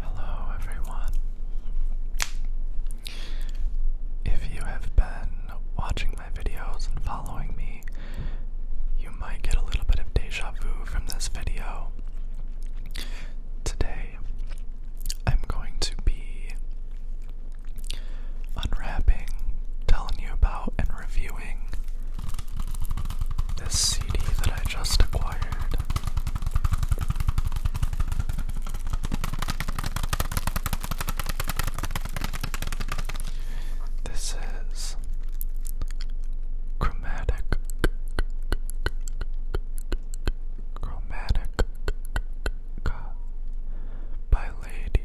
Hello, everyone. If you have been watching my videos and following me, you might get a little bit of deja vu from this video. Today, I'm going to be unwrapping, telling you about, and reviewing this CD that I just acquired. This is chromatic chromatic Ka by Lady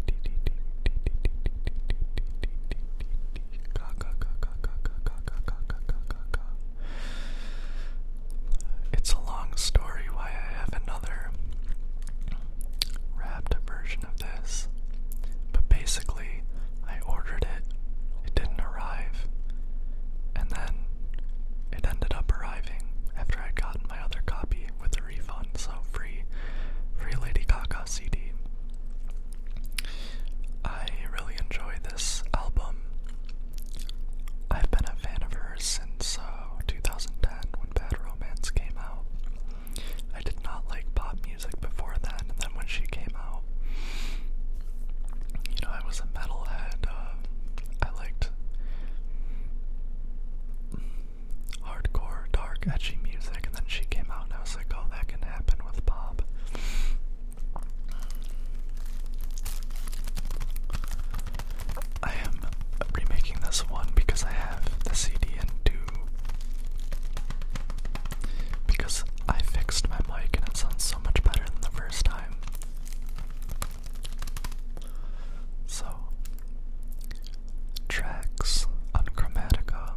It's a long story why I have another wrapped version of this, but basically, I ordered it, it didn't arrive, and then it ended up arriving after I'd gotten my other copy with a refund, so free, free Lady Gaga CD. I really enjoy this album. I've been a fan of hers since uh, 2010 when Bad Romance came out. I did not like pop music before then, and then when she came out, you know, I was a metalhead. Uh, I liked hardcore, dark, edgy music, and then she came out, and I was like, oh, that can happen with Bob. I am remaking this one because I have the CD in two. Because I fixed my mic and it sounds so much better than the first time. So, tracks on Chromatica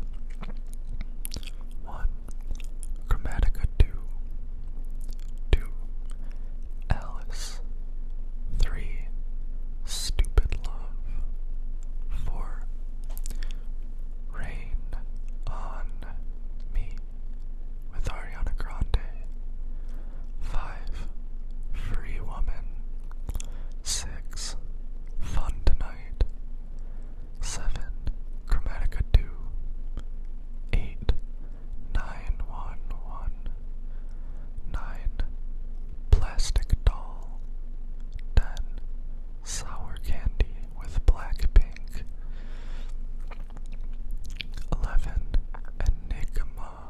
1, Chromatica 2, 2, Alice 3, Stupid Love 4, Rain on Me with Ariana Grande. 5. Free Woman. 6. Fun Tonight. 7. Chromatica 2. 8. 9. Plastic Doll. 10. Sour Candy with Black Pink. 11. Enigma.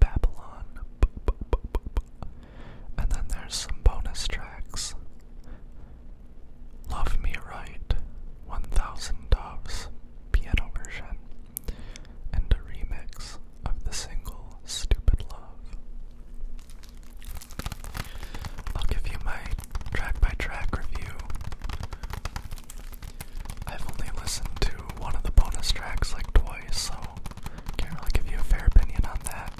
Babylon. And then there's some bonus tracks. Love Me Right, 1000 Doves, piano version, and a remix of the single Stupid Love. I'll give you my track by track review I've only listened to one of the bonus tracks like twice, so can't really give you a fair opinion on that.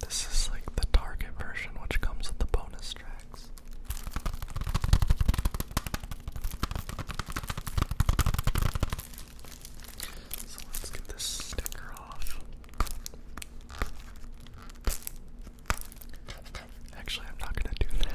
this is like the target version, which comes with the bonus tracks. So let's get this sticker off. Actually, I'm not gonna do that.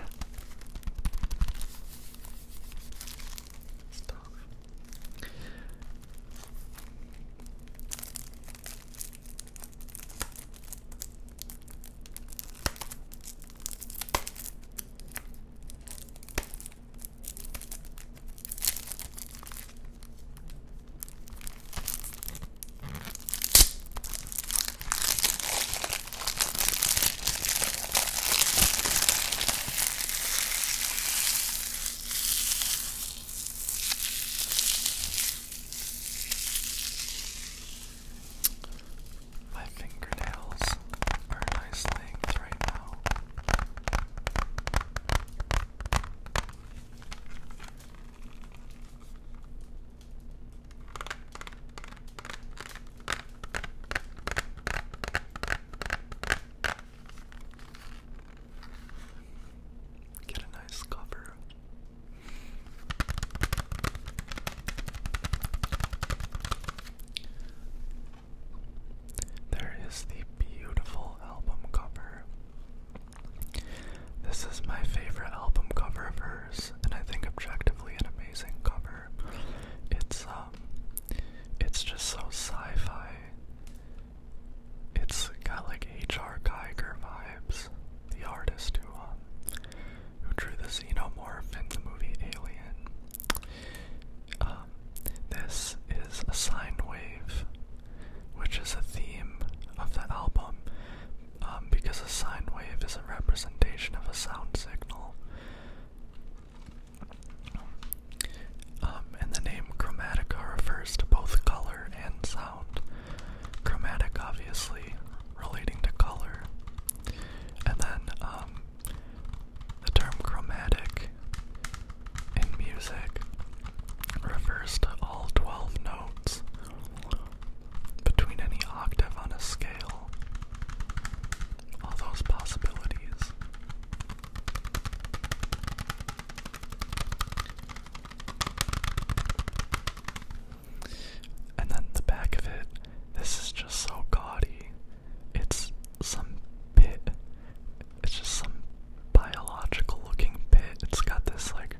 My fingernails are nice things right now. Get a nice cover. There is the beautiful album cover this is my favorite album cover of hers, and I think objectively an amazing cover. It's um it's just so sci-fi. It's got like H.R. Geiger vibes. The artist who um who drew the xenomorph in the movie Alien. Um this is a sine wave, which is a theme of the album um, because a sine wave is a representation of a sound signal. Um, and the name chromatica refers to both color and sound. Chromatic, obviously, relating to color. And then um, the term chromatic in music refers to all 12 notes between any octave on a scale. All those possibilities. And then the back of it, this is just so gaudy. It's some pit. It's just some biological looking pit. It's got this like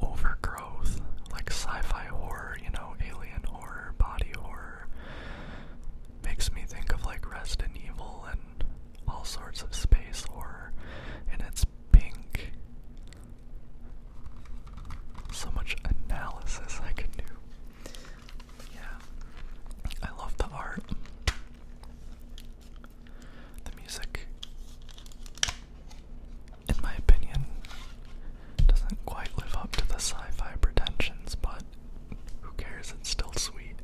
overgrowth, like sci-fi horror, you know, alien horror, body horror. Makes me think of like Resident Evil and all sorts of space horror, and it's pink. So much analysis I can do. Yeah, I love the art, the music in my opinion, doesn't quite live up to the sci fi pretensions, but who cares? It's still sweet.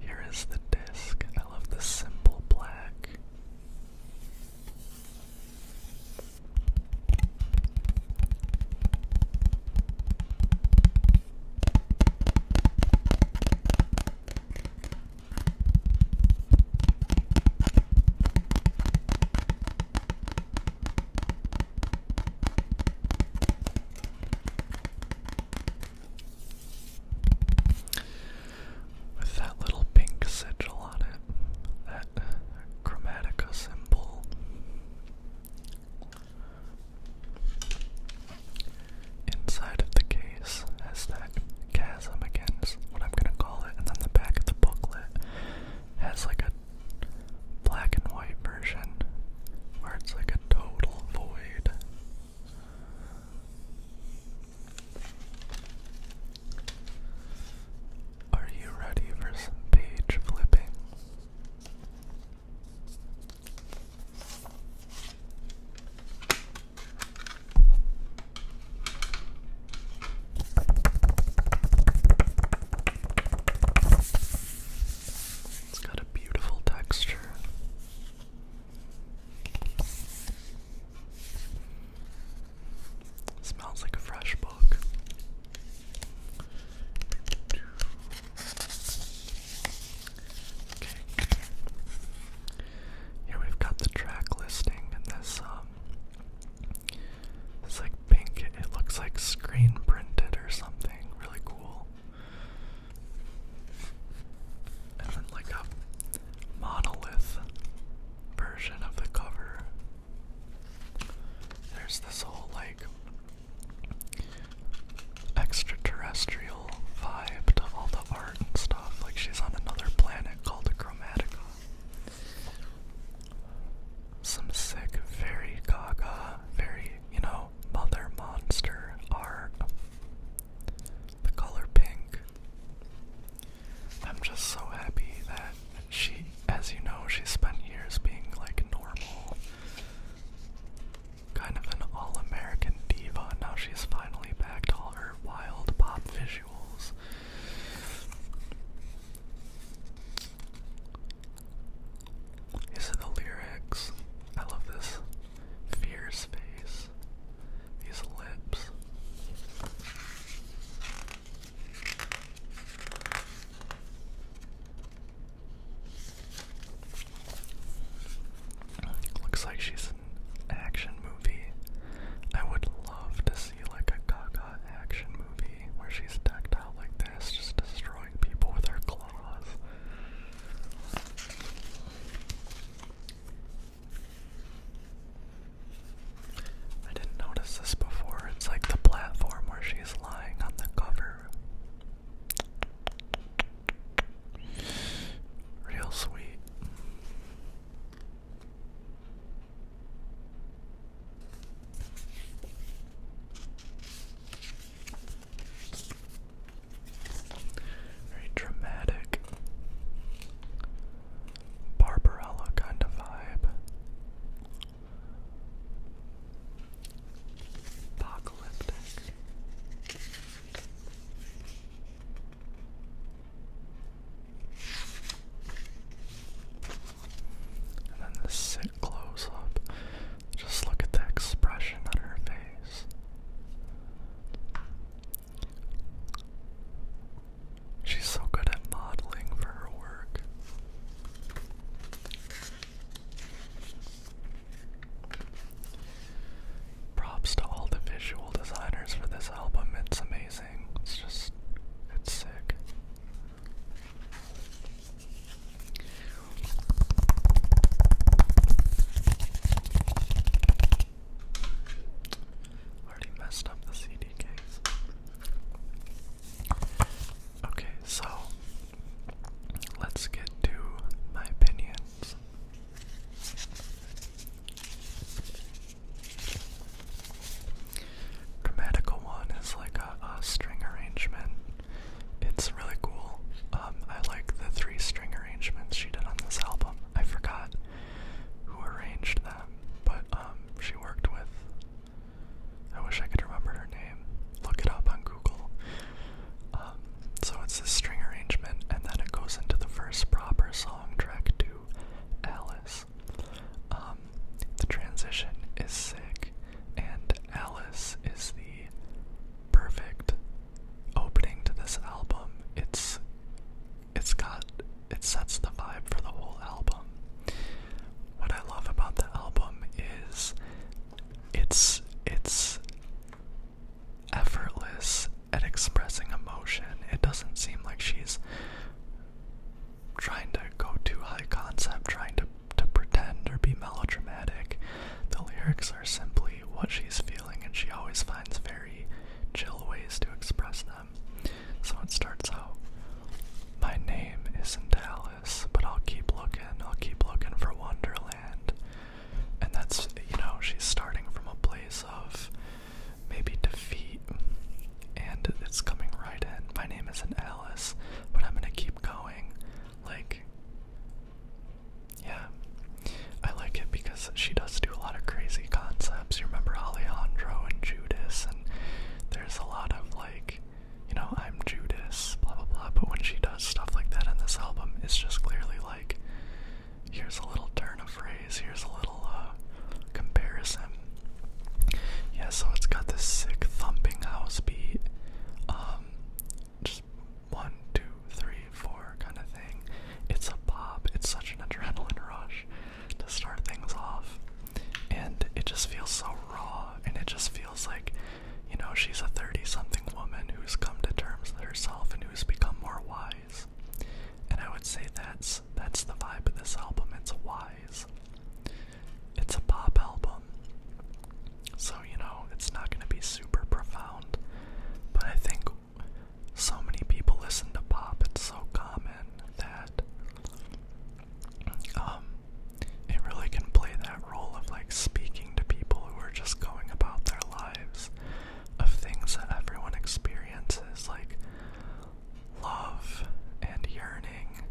Here is the disc. I love the simple black. With that little pink sigil on it, that chromatica symbol. Inside of the case. As that chasm again, is what I'm gonna call it, and then the back of the booklet has like a black and white version where it's like a total void. Are you ready for some page flipping? It's got a beautiful texture. smells like a fresh book. Here we've got the track listing and this um this like pink it looks like screen printed or something really cool. And then like a monolith version of the cover. There's this whole like extraterrestrial vibe to all the art and stuff. Like she's on another planet called Chromatica. Some sick, very gaga, very, you know, mother monster art. The color pink. I'm just so happy that she, as you know, she spent years being like normal, kind of an all American diva. Now she's finally back to all her wild pop visuals. These are the lyrics. I love this fierce face, these lips. Looks like she's an action movie. I would love to see like a Gaga action movie where she's decked out like this, just destroying people with her claws. I didn't notice this before. It's like the platform where she's lying on the cover. Real sweet. Very dramatic Barbarella kind of vibe. Apocalyptic. And then the sit close up. Just look at the expression on her face. She's so good at modeling for her work. Props to all the visual designers for this album. It's amazing. It's just, it's sick. Already messed up the CD case. Okay, so let's get to my opinion problems. one is like a, string arrangement. It's really cool. Um, I like the three string arrangements she did on this album. I forgot who arranged them, but um, she worked with. I wish I could remember her name. Look it up on Google. Um, so it's a string arrangement, and then it goes into the first proper song track to Alice. Um, the transition is sick, and Alice is the perfect opening to this album. It's it's got it sets the vibe for the whole album. What I love about the album is it's it's effortless at expressing emotion. It doesn't seem like she's trying to go too high concept, trying to, to pretend or be melodramatic. The lyrics are simply what she's feeling, and she always finds very chill ways to express them. So it starts out My name isn't Alice, but I'll keep looking, I'll keep looking for Wonderland. And that's, you know, she's starting from a place of maybe defeat and it's coming right in. My name isn't Alice, but I'm gonna keep going. Like, yeah. I like it because she does do a lot of crazy concepts. You remember Alejandro and Judas, and there's a lot of like, you know, I'm Judas, blah blah blah. But when she does stuff like that in this album, it's just clearly like, Here's a little turn of phrase. Here's a little uh, comparison. Yeah, so it's got this sick thumping house beat. Um, one, two, three, four kind of thing. It's a pop. It's such an adrenaline rush to start things off. And it just feels so raw. And it just feels like, you know, she's a 30 something woman who's come to terms with herself and who's become more wise and I would say that's that's the vibe of this album. It's wise. It's a pop album. So, you know, it's not going to be super profound, but I think so many people listen to pop, it's so common that um it really can play that role of like speaking to people who are just going about their lives of things that everyone experiences, like love and yearning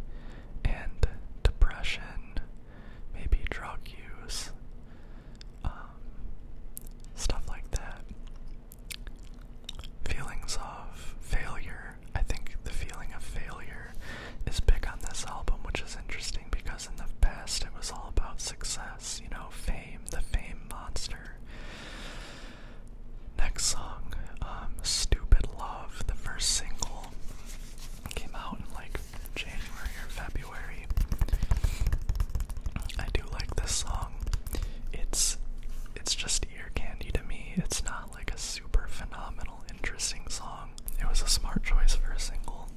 and depression, maybe drug use, um, stuff like that. Feelings of failure. I think the feeling of failure is big on this album, which is interesting because in the past it was all about success you know, fame, the fame monster. Next song, um, Stupid Love, the first single. Came out in like January or February. I do like this song. It's it's just ear candy to me. It's not like a super phenomenal, interesting song. It was a smart choice for a single.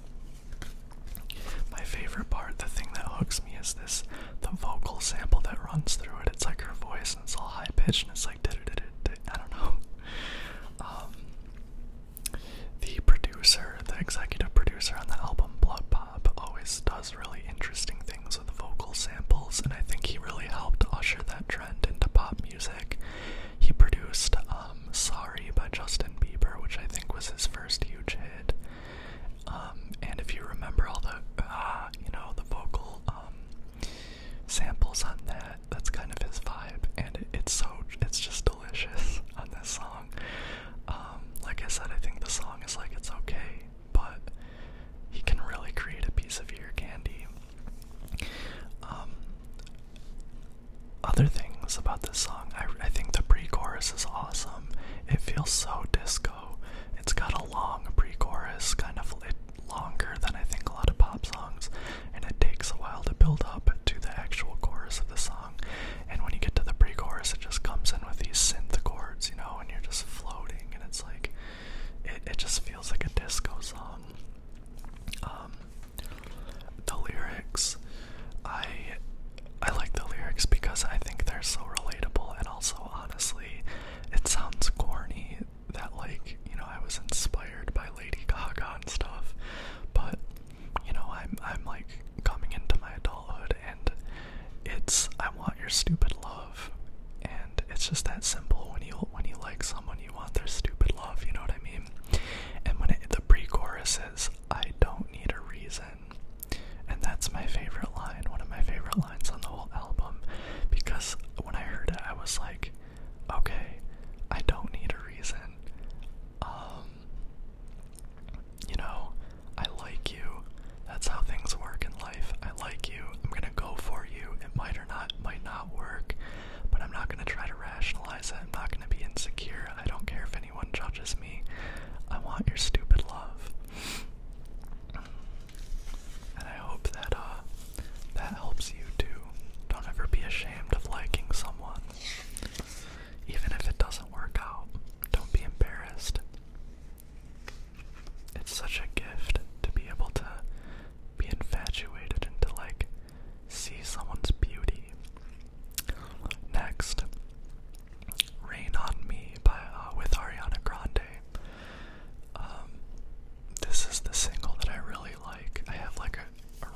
My favorite part, the thing that hooks me, is this the vocal sample that runs through it. It's like her voice, and it's all high pitched, and it's like da da da da. I don't know. Um, the producer, the executive producer on the album Blood Pop, always does really interesting things with vocal samples, and I think he really helped usher that trend into pop music. He produced um, "Sorry" by Justin Bieber, which I think was his first huge hit. Um, and if you remember all the, uh, you know, the vocal um, samples on that, that's kind of his vibe, and it's so, it's just delicious on this song. Um, like I said, I think the song is like it's okay, but he can really create a piece of ear candy. other things about this song, I think the pre-chorus is awesome. Um, it feels so disco. It's got a long pre-chorus, kind of it, longer than I think a lot of pop songs, and it takes a while to build up to the actual chorus of the song. And when you get to the pre-chorus, it just comes in with these synth chords, you know, and you're just floating, and it's like it it just feels like a disco song. Um, the lyrics, I I like the lyrics because I think they're so relatable, and also, honestly, it sounds corny that, like, you know, I was inspired by Lady Gaga and stuff, but, you know, I'm, I'm like, coming into my adulthood, and it's, I want your stupid love, and it's just that simple, when you, when you like someone, you want their stupid love, you know what I mean? And when the pre-chorus is, I don't need a reason, and that's my favorite line, one of my favorite lines on the whole album, because when I heard it, I was like, okay, I don't need a reason. Um, you know, I like you. That's how things work in life. I like you. I'm gonna go for you. It might or not might not work, but I'm not gonna try to rationalize it. I'm not gonna be insecure. I don't care if anyone judges me. I want your stupid love. And I hope that uh, that helps you too. Don't ever be ashamed of liking someone. Even if it doesn't work out, don't be embarrassed. It's such a gift to be able to be infatuated and to like see someone's beauty Next, "Rain on Me" by uh, with Ariana Grande. Um, this is the single that I really like. I have like a,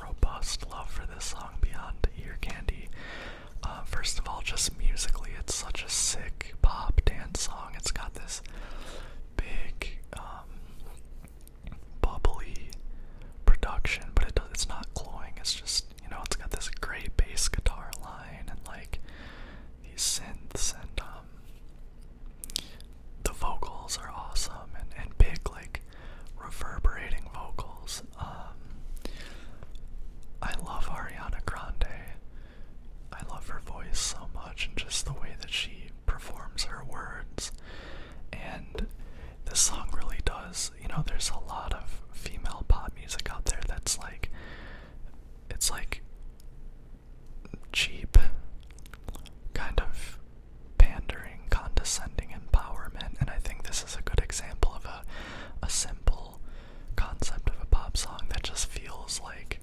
robust love for this song beyond ear candy. Uh, first of all, just musically, it's such a sick pop dance song. It's got this big, um, bubbly production, but it's not cloying. It's just you know, it's got this great bass guitar line and like these synths and um, the vocals are awesome and, and big like reverberating vocals. Um, I love Ariana Grande. I love her voice so much and just the way that she performs her words. And this song really does. You know, there's a lot of female pop music out there that's like, it's like cheap, kind of pandering, condescending empowerment. And I think this is a good example of a, a simple concept of a pop song that just feels like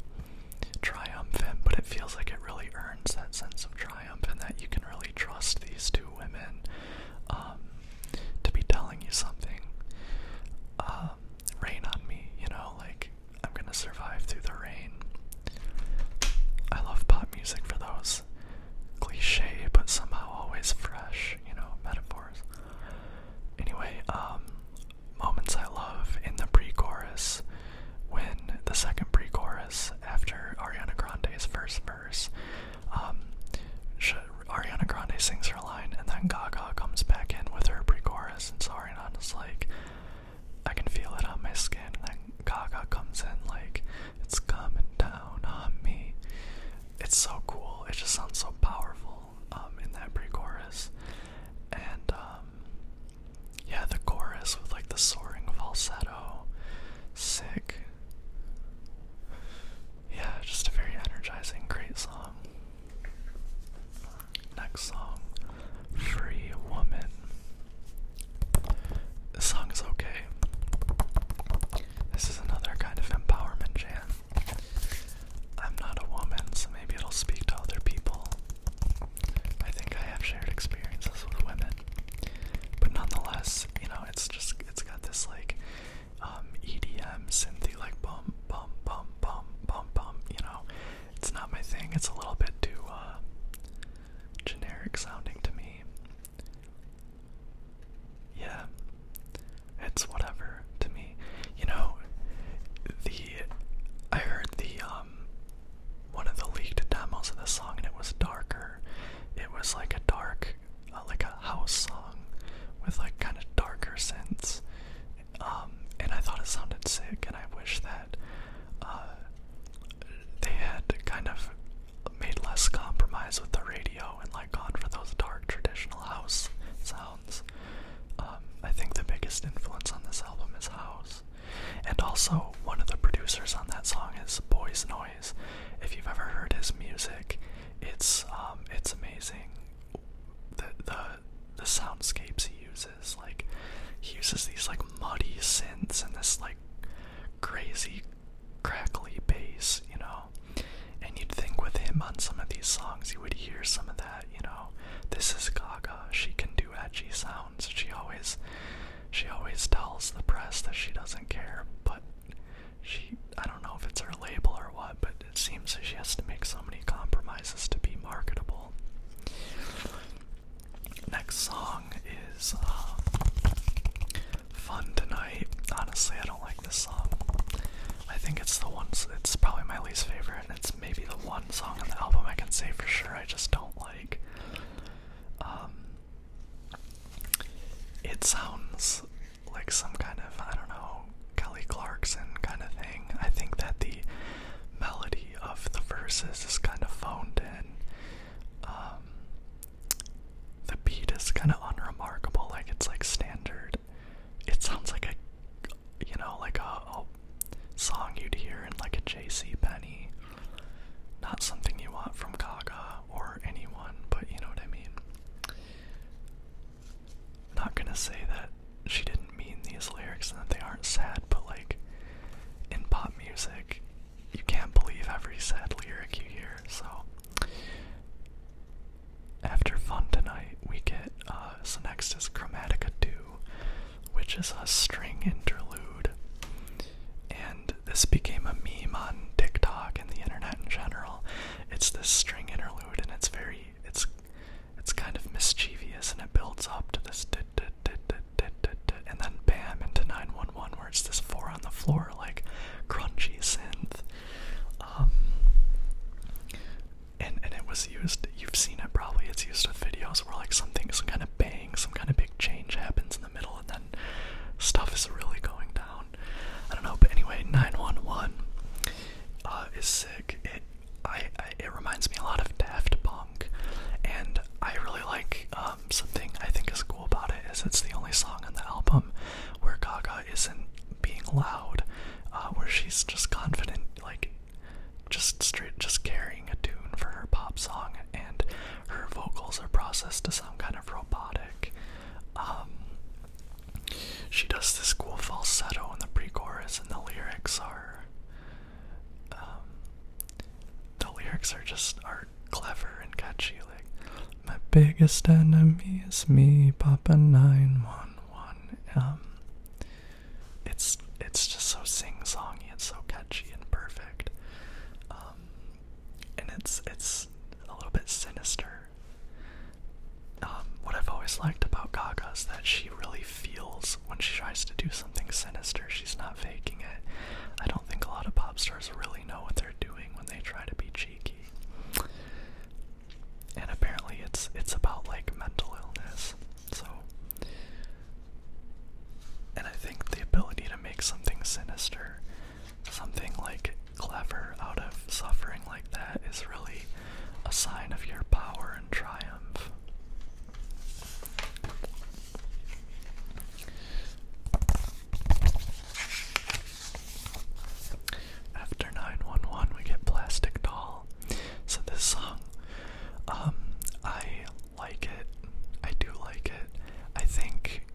triumphant, but it feels like it really earns that sense of triumph and that you can really trust these two women. Um, to be telling you something. Um, rain on me, you know, like I'm gonna survive through the rain. I love pop music for those cliche but somehow always fresh, you know, metaphors. Anyway, um, moments I love in the pre chorus when the second pre chorus after Ariana Grande's first verse rappers. Um, Ariana Grande sings her line, and then Gaga comes back in with her pre-chorus, and so is like, "I can feel it on my skin." And then Gaga comes in like, "It's coming down on me." It's so cool. It just sounds so powerful um, in that pre-chorus, and um, yeah, the chorus with like the soaring falsetto, sick yeah, just a very energizing, great song. Next song, Free Woman. This song is okay. This is another kind of empowerment jam. I'm not a woman, so maybe it'll speak to other people. I think I have shared experiences with women. But nonetheless, you know, it's just it's got this like um, EDM, synth, like bum, bum, bum, bum, bum, bum. You know, it's not my thing. It's a little bit too uh, generic sounding to me. Yeah, it's whatever to me. You know, the I heard the um one of the leaked demos of the song, and it was darker. It was like a dark like a house song with like kind of darker sense, um, and I thought it sounded sick. And I wish that uh, they had kind of made less compromise with the radio and like gone for those dark traditional house sounds. Um, I think the biggest influence on this album is house, and also one of the producers on that song is Boys Noise. If you've ever heard his music, it's um, it's amazing. The the the soundscapes he uses, like he uses these like muddy synths and this like crazy crackly bass, you know. And you'd think with him on some of these songs you would hear some of that, you know. This is Gaga. She can do edgy sounds. She always she always tells the press that she doesn't care, but she I don't know if it's her label or what, but it seems she has to make so many compromises to be marketable. Next song is uh, Fun Tonight. Honestly, I don't like this song. I think it's the one, it's probably my least favorite, and it's maybe the one song on the album I can say for sure I just don't like. Um, it sounds like some kind of, I don't know, Kelly Clarkson kind of thing. I think that the melody of the verses is kind of phoned in. Um, the beat is kind of unremarkable, like it's like standard. It sounds like a, you know, like a song you'd hear in like a J.C. Penny. Not something you want from Gaga or anyone, but you know what I mean. not gonna say that she didn't mean these lyrics and that they aren't sad, but like in pop music, you can't believe every sad lyric you hear, so. After Fun Tonight, we get, uh, so next is Chromatica 2, which is a string interlude. And this became a meme on TikTok and the internet in general. It's this string interlude, and it's very, it's, it's kind of mischievous, and it builds up to this, dit, dit, dit, dit, dit, dit, and then bam into 911, where it's this four on the floor, like crunchy synth. Um, and and it was used. You've seen it probably. It's used with videos where like something, some kind of bang, some kind of big change happens in the middle, and then stuff is really going down. I don't know, but anyway, 911 uh, is sick. It I, it reminds me a lot of Daft Punk, and I really like um, something I think is cool about it is it's the only song on the album where Gaga isn't being loud, uh, where she's just confident, like just straight, just carrying a tune for her pop song, and her vocals are processed to sound kind of robotic. Um, she does this cool falsetto in the pre-chorus, and the lyrics are, um, the lyrics are just are clever and catchy. Like, my biggest enemy is me, Papa Nine One One. Um, it's it's just so sing-songy and so catchy and perfect and it's it's a little bit sinister. Um, what I've always liked about Gaga is that she really feels when she tries to do something sinister. She's not faking it. I don't think a lot of pop stars really know what they're doing when they try to be cheeky. And apparently, it's it's about like mental illness. So, and I think the ability to make something sinister something like clever out of suffering like that is really a sign of your power and triumph. After 911, we get Plastic Doll. So, this song, um, I like it. I do like it. I think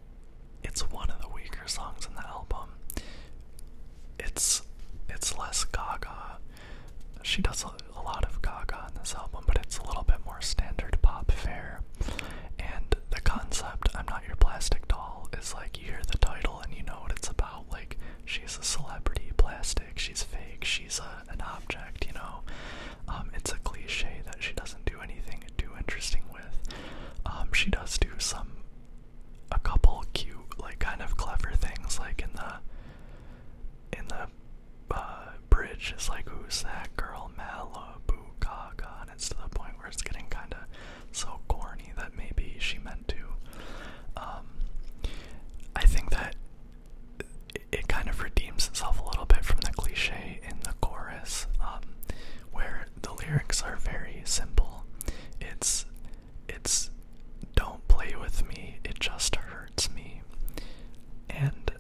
it's one of the weaker songs in the album. It's it's less Gaga. She does a, lot of Gaga in this album, but it's a little bit more standard pop fare. And the concept "I'm not your plastic doll" is like you hear the title and you know what it's about. Like she's a celebrity, plastic. She's fake. She's a, an object. You know, um, it's a cliche that she doesn't do anything too interesting um, she does do some, a couple cute, like kind of clever things, like in the, in the uh, bridge. It's like, who's that girl, Malibu Gaga? And it's to the point where it's getting kind of so corny that maybe she meant to. Um, I think that it, kind of redeems itself a little bit from the cliche in the chorus. Um, where the lyrics are very simple. It's it's don't play with me, it just hurts me. And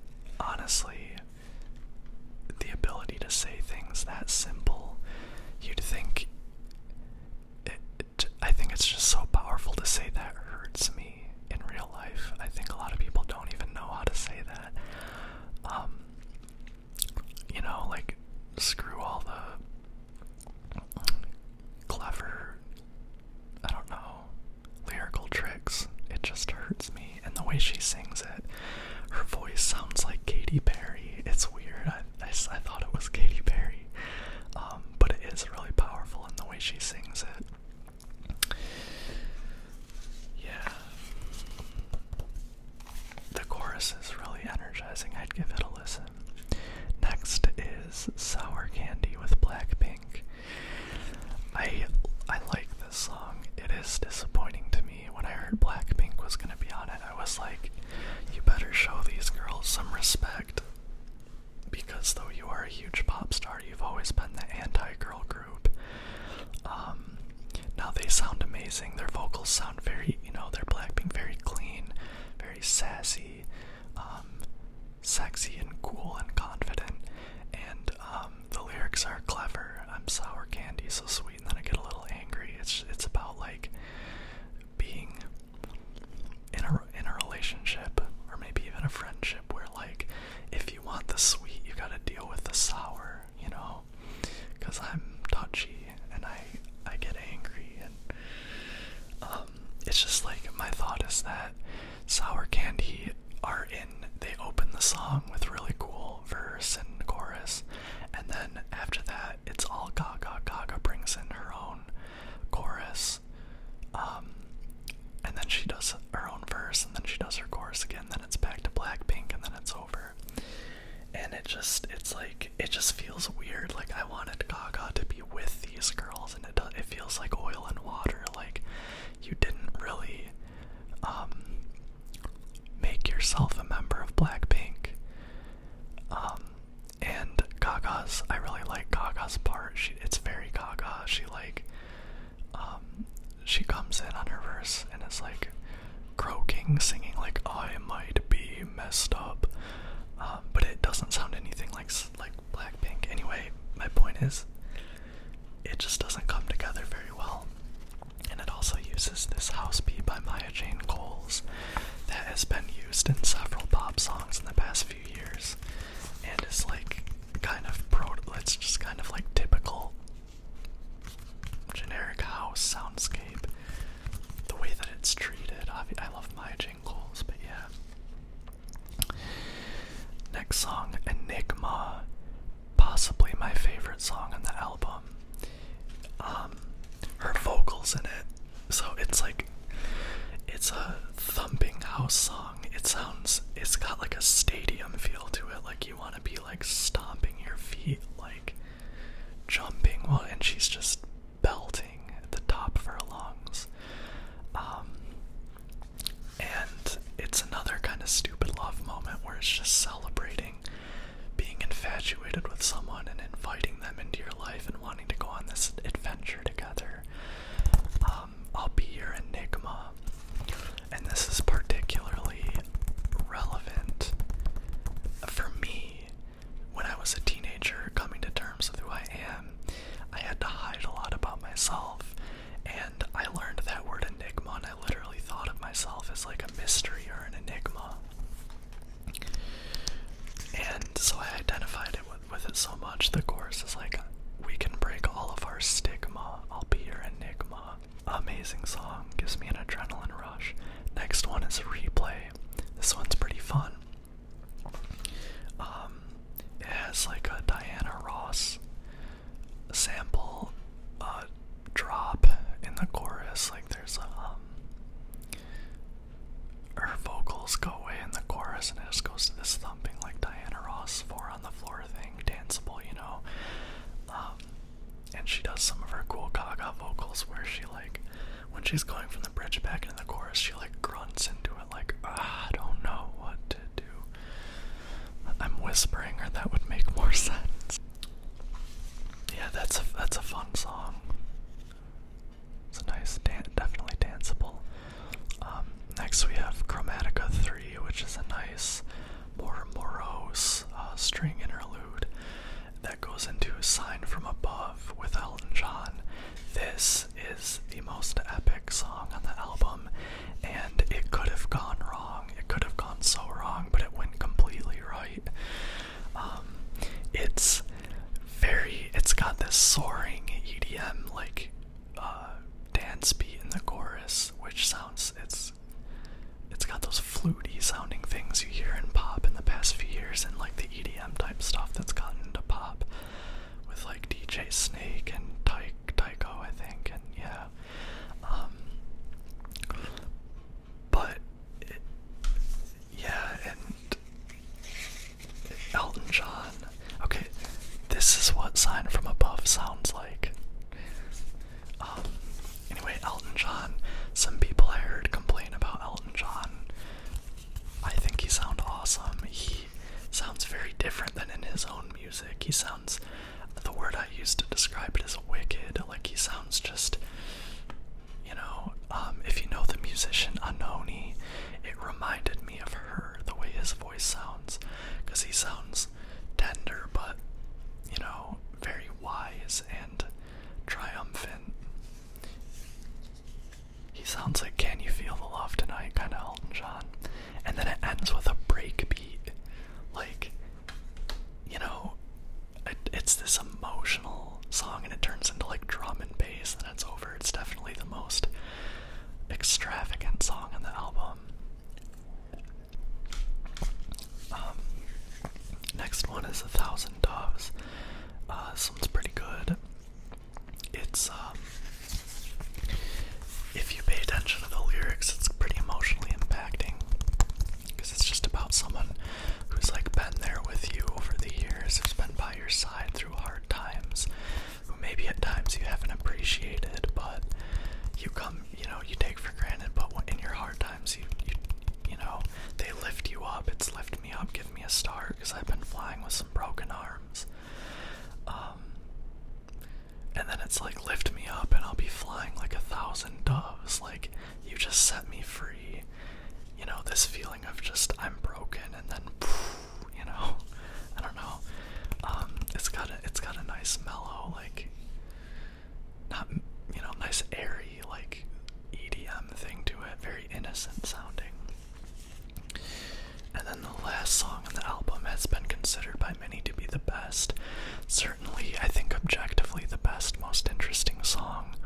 honestly, the ability to say things that simple, you'd think it, I think it's just so powerful to say that hurts me in real life. I think a lot of people don't even know how to say that. Um, you know, like screw all the clever, I don't know, lyrical tricks. It just hurts me. And the way she sings it, her voice sounds like Katy Perry. It's weird. I, I, thought it was Katy Perry. Um, but it is really powerful in the way she sings it. Yeah. The chorus is really energizing. I'd give it a listen. Next is Sour Candy with Blackpink. I I like this song. It is disappointing to me. When I heard Blackpink was gonna be on it, I was like, you better show these girls some respect. Because though you are a huge pop star, you've always been the anti girl group. Um, now they sound amazing. Their vocals sound very, you know, they're being very clean, very sassy, um, sexy and cool and confident. And um, the lyrics are clever. I'm sour candy, so sweet, and then I get a little angry. It's it's about like being in a in a relationship or maybe even a friendship where like if you want the sweet, you gotta deal with the sour you know, because I'm touchy and I I get angry and um, it's just like my thought is that Sour Candy are in. They open the song with really cool verse and chorus, and then after that, it's all Gaga. Gaga brings in her own chorus, um, and then she does her own verse, and then she does her chorus again it's back to Blackpink, and then it's over. And it just, it's like, it just feels weird. Like I wanted Gaga to be with these girls, and it does, it feels like oil and water. Like you didn't really um, make yourself a member of Blackpink. Um, and Gaga's, I really like Gaga's part. She, it's very Gaga. She like um, she comes in on her verse and is like croaking, singing like I might be messed up, um, but it doesn't sound anything like like Blackpink. Anyway, my point is, it just doesn't come together very well, and it also uses this house beat by Maya Jane Coles that has been used in several pop songs in the past few years, and is like kind of pro. It's just kind of like typical generic house soundscape. The way that it's treated. I love my jingles, but yeah. Next song, Enigma. Possibly my favorite song on the album. Um, her vocals in it. So it's like it's a thumping house song. It sounds it's got like a stadium feel to it, like you wanna be like stomping your feet, like jumping while and she's just belting at the top of her lungs. Um, and it's another kind of stupid love moment where it's just celebrating being infatuated with someone and inviting them into your life and wanting to go on this adventure together. Um, I'll be your enigma. And this is particularly relevant for me when I was a teenager coming to terms with who I am. I had to hide a lot about myself, and I learned that word enigma, and I literally thought of myself as like a mystery or an enigma. And so I identified it with it so much. The course is like, we can break all of our stigma. I'll be your enigma. Amazing song. Gives me an adrenaline rush. Next one is Replay. This one's pretty fun. Um, it has like a Diana Ross sample uh, drop in the chorus. Like there's um, her vocals go away in the chorus and it just goes to this thumping like Diana Ross four on the floor thing, danceable, you know. Um, and she does some of her cool Gaga vocals where she like, when she's going from the bridge back into the chorus, she like grunts into it like, ah, I don't know what to do. I'm whispering, or that would make more sense. Yeah, that's a that's a fun song. It's a nice, dan definitely danceable. Um, next we have Chromatica Three, which is a nice more morose uh, string interlude that goes into a sign from above with Elton John. This is the most epic song on the album, and it could have gone wrong. It could have gone so wrong, but it went completely right. Um, it's very, it's got this soaring EDM like uh, dance beat in the chorus, which sounds it's it's got those fluty sounding things you hear in pop in the past few years, and like the EDM type stuff that's gotten into pop with like DJ Snake and Tyke Tycho, I think, and yeah. Um, but yeah, and Elton John. Okay, this is what "Sign from Above" sounds like. Um, anyway, Elton John. Some people I heard complain about Elton John. I think he sounds awesome. He sounds very different than in his own music. He sounds, the word I used to describe it is wicked. Like he sounds just, you know, um, if you know the musician Anoni, it reminded me of her the way his voice sounds, because he sounds tender, but you know, very wise and triumphant. He sounds like Can You Feel the Love Tonight, kinda Elton John. And then it ends with a breakbeat. Like, you know, it's this emotional song and it turns into like drum and bass and it's over. It's definitely the most extravagant song in the album. Um, next one is a thousand doves. Uh, this one's pretty good. It's um, if you pay attention to the lyrics, it's pretty emotionally impacting because it's just about someone who's like been there with you over the years, who's been by your side through hard times, who maybe at times you haven't appreciated, but you come, you know, you take for granted. But in your hard times, you, you, know, they lift you up. It's lifted me up, give me a start, because I've been flying with some broken arms. Um, and then it's like lift me up, and I'll be flying like a thousand doves. Like you just set me free. You know, this feeling of just I'm broken, and then, you know, I don't know. Um, it's got a it's got a nice mellow like not you know nice airy like EDM thing to it, very innocent sounding. And then the last song on the album has been considered by many to be the best. Certainly, I think objectively the best, most interesting song,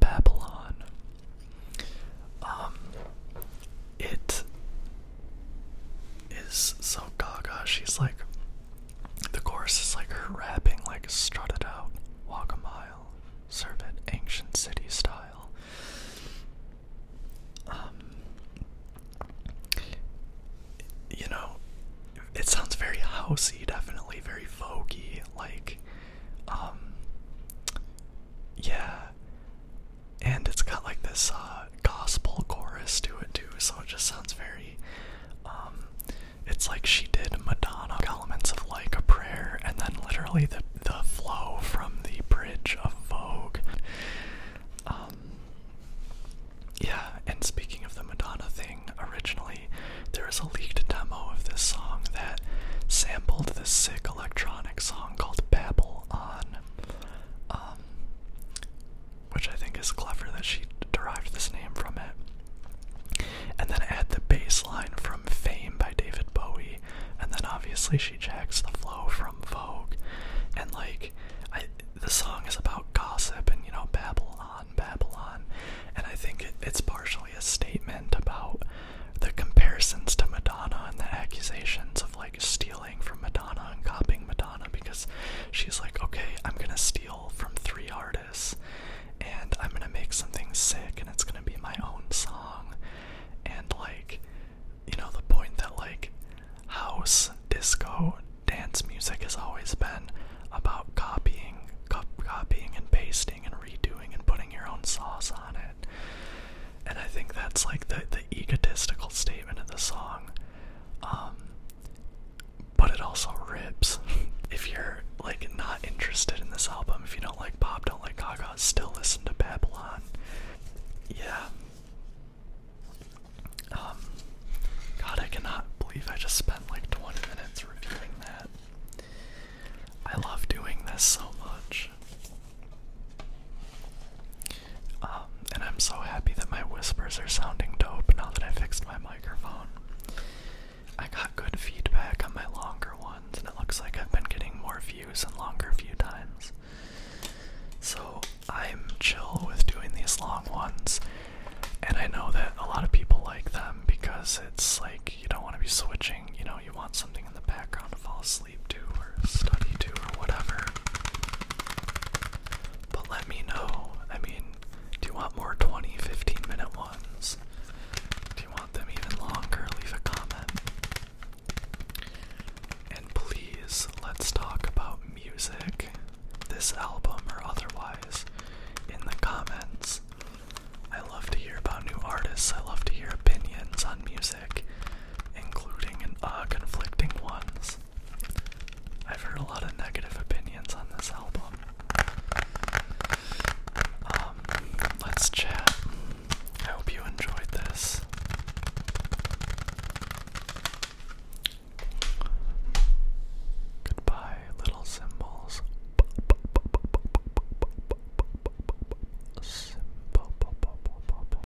Babylon. Um, it is so gaga. She's like, the chorus is like her rapping, like, strutted out, walk a mile, serve it ancient city style. Um, you know, it sounds very housey, definitely very voguey, like, um, yeah, and it's got like this uh, gospel chorus to it too, so it just sounds very. Um, it's like she did Madonna elements of like a prayer, and then literally the the flow from the bridge of Vogue. Um, yeah, and speaking of the Madonna thing, originally there was a leaked demo of this song that sampled this sick electronic song called Babble on. Um, which I think is clever that she derived this name from it. And then add the bass line from Fame by David Bowie, and then obviously she jacks the flow from Vogue. And like, the song is about gossip and you know, Babylon, Babylon. And I think it's partially a statement about the comparisons to Madonna and the accusations of like stealing stealing from Madonna and copying Madonna because she's like, okay, I'm gonna steal from three artists and I'm gonna make something sick and it's gonna be my own song. And like, you know, the point that like house, disco, dance music has always been about copying, cop copying and pasting and redoing and putting your own sauce on it and I think that's like the the egotistical statement of the song. Um, but it also rips. if you're like not interested in this album, if you don't like pop, don't like Gaga, still listen to Babylon. Yeah. Um, God, I cannot believe I just spent like 20 minutes reviewing that. I love doing this so much. Um, and I'm so happy that my whispers are sounding dope now that I fixed my microphone. I got good feedback on my longer ones, and it looks like I've been getting more views and longer view times. So I'm chill with doing these long ones, and I know that a lot of people like them because it's like you don't want to be switching, you know, you want something in the background to fall asleep sleep to or study to or whatever. But let me know. I mean, do you want more 20, 15 minute ones? Do you want them even longer? Leave a comment. And please, let's talk about music, this album or otherwise, in the comments. I love to hear about new artists, I love to hear opinions on music sick, including uh, conflicting ones. I've heard a lot of negative opinions on this album. let's chat. I hope you enjoyed this. Goodbye, little symbols.